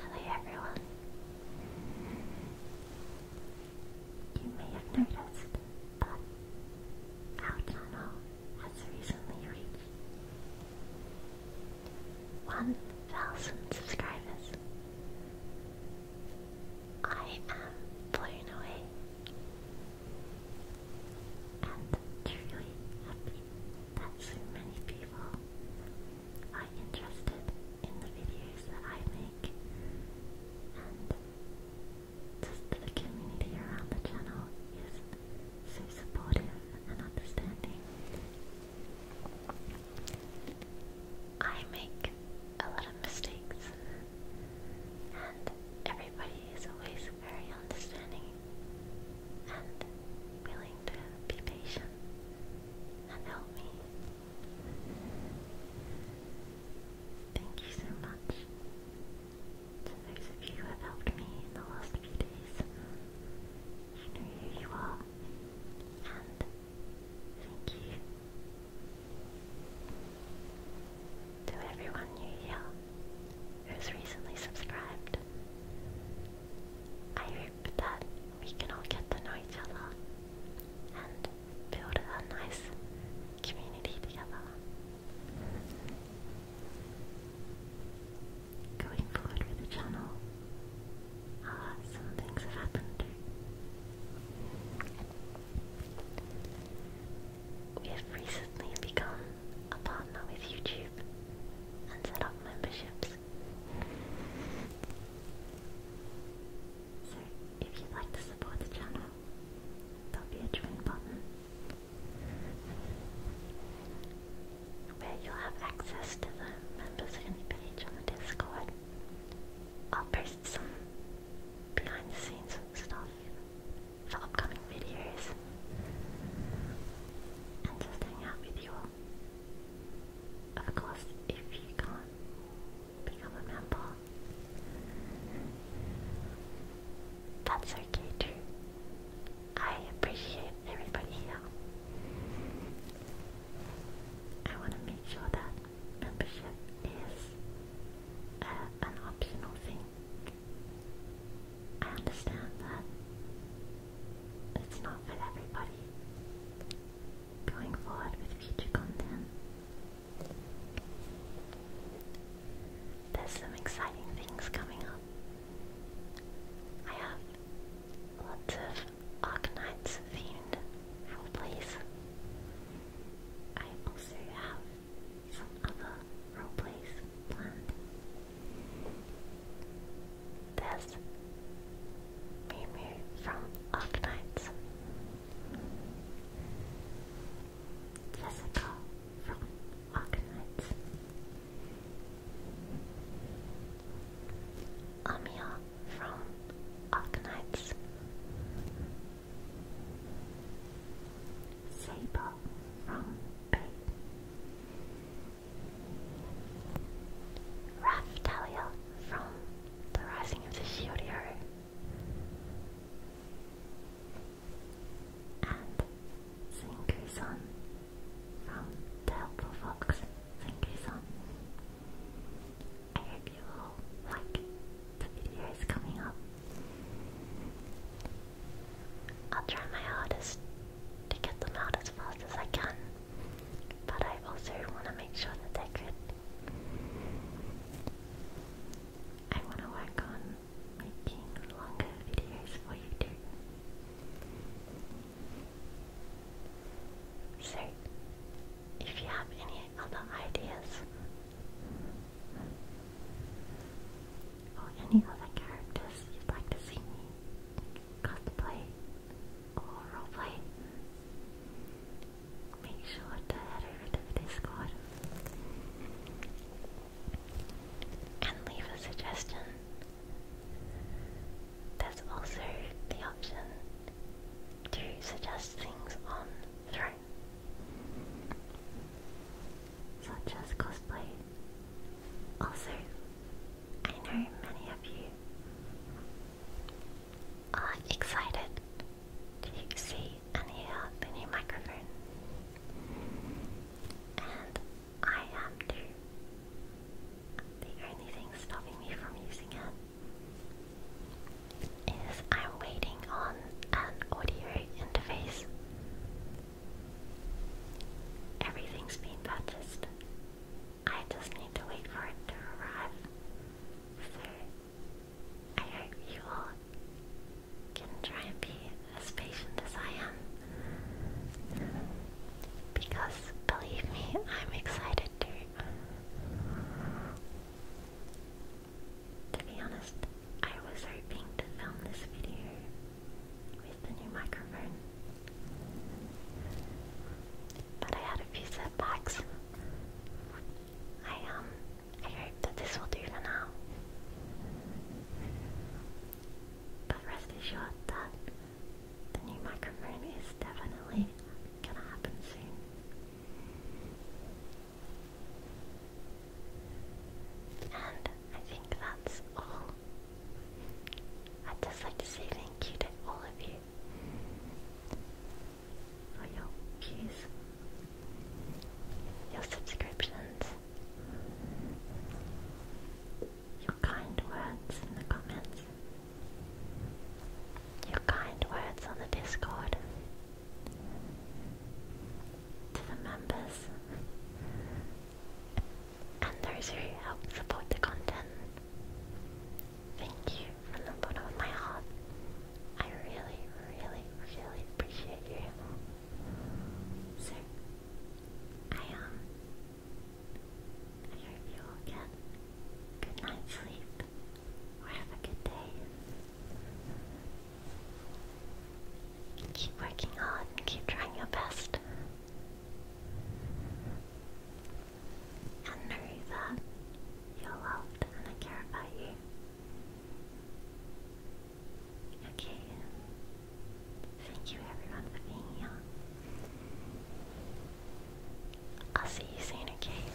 Hello everyone. You may have noticed, but our channel has recently reached 1,000 subscribers. I am blown away and truly happy that so many people are interested in the videos I make and just the community around the channel is so supportive and understanding. I make a lot of mistakes, and everybody is always very understanding and willing to be patient and help me. Thank you so much to those of you who have helped me in the last few days. You know who you are, and thank you to everyone new here who's recently subscribed. I hope that we can all get to know each other and build a nice community together. Going forward with the channel, uh, some things have happened. We have recently become a partner with YouTube and set up memberships. So, if you'd like to support the channel, there'll be a join button where you'll have access to the members only page on the Discord. I'll post some behind the scenes stuff for upcoming videos and just hang out with you all. Of course, if you can become a member, that's okay too. I appreciate everybody here. I want to make sure that membership is uh, an optional thing I understand that it's not for everybody. Going forward with future content, there's some exciting things coming up. I have lots of Arknights themed role plays. I also have some other roleplays planned. There's Mimu from Arknights, Jessica from Arknights, Amia from Arknights. Sable from Bay. Raftalia from The Rising of the Shield Hero. And Zinkuson from The Helpful Fox. Zinkuson. I hope you all like the videos coming up. I'll try my hardest to get them out as fast as I can, but I also want to make sure that they're good. I want to work on making longer videos for you too. So, if you have any other ideas, or any other characters you'd like to see me cosplay or roleplay, make sure to head over to Discord and leave a suggestion. There's also the option to suggest things on Throne such as cosplay. Also, I know many of you are excited to see any of the new microphone, and I am too. The only thing stopping me from using it is I'm waiting on an audio interface Everything's being purchased. I just need to wait for it to arrive. So, I hope you all can try and be as patient as I am. Because, believe me, I'm excited too. To be honest, I was hoping to film this video with the new microphone. But I had a few setbacks. I um I hope that this will do for now. But rest assured that the new microphone is definitely gonna happen soon. And I think that's all. I'd just like to say thank you to all of you for your views, your subscriptions, your kind words in the comments, your kind words on the Discord to the members and those who help support the content. Thank you from the bottom of my heart. I really, really, really appreciate you. So, I um, I hope you all get good night's sleep or have a good day. Keep working hard and keep trying your best. And know that you're loved and I care about you. Okay. Thank you everyone for being here. I'll see you soon, okay?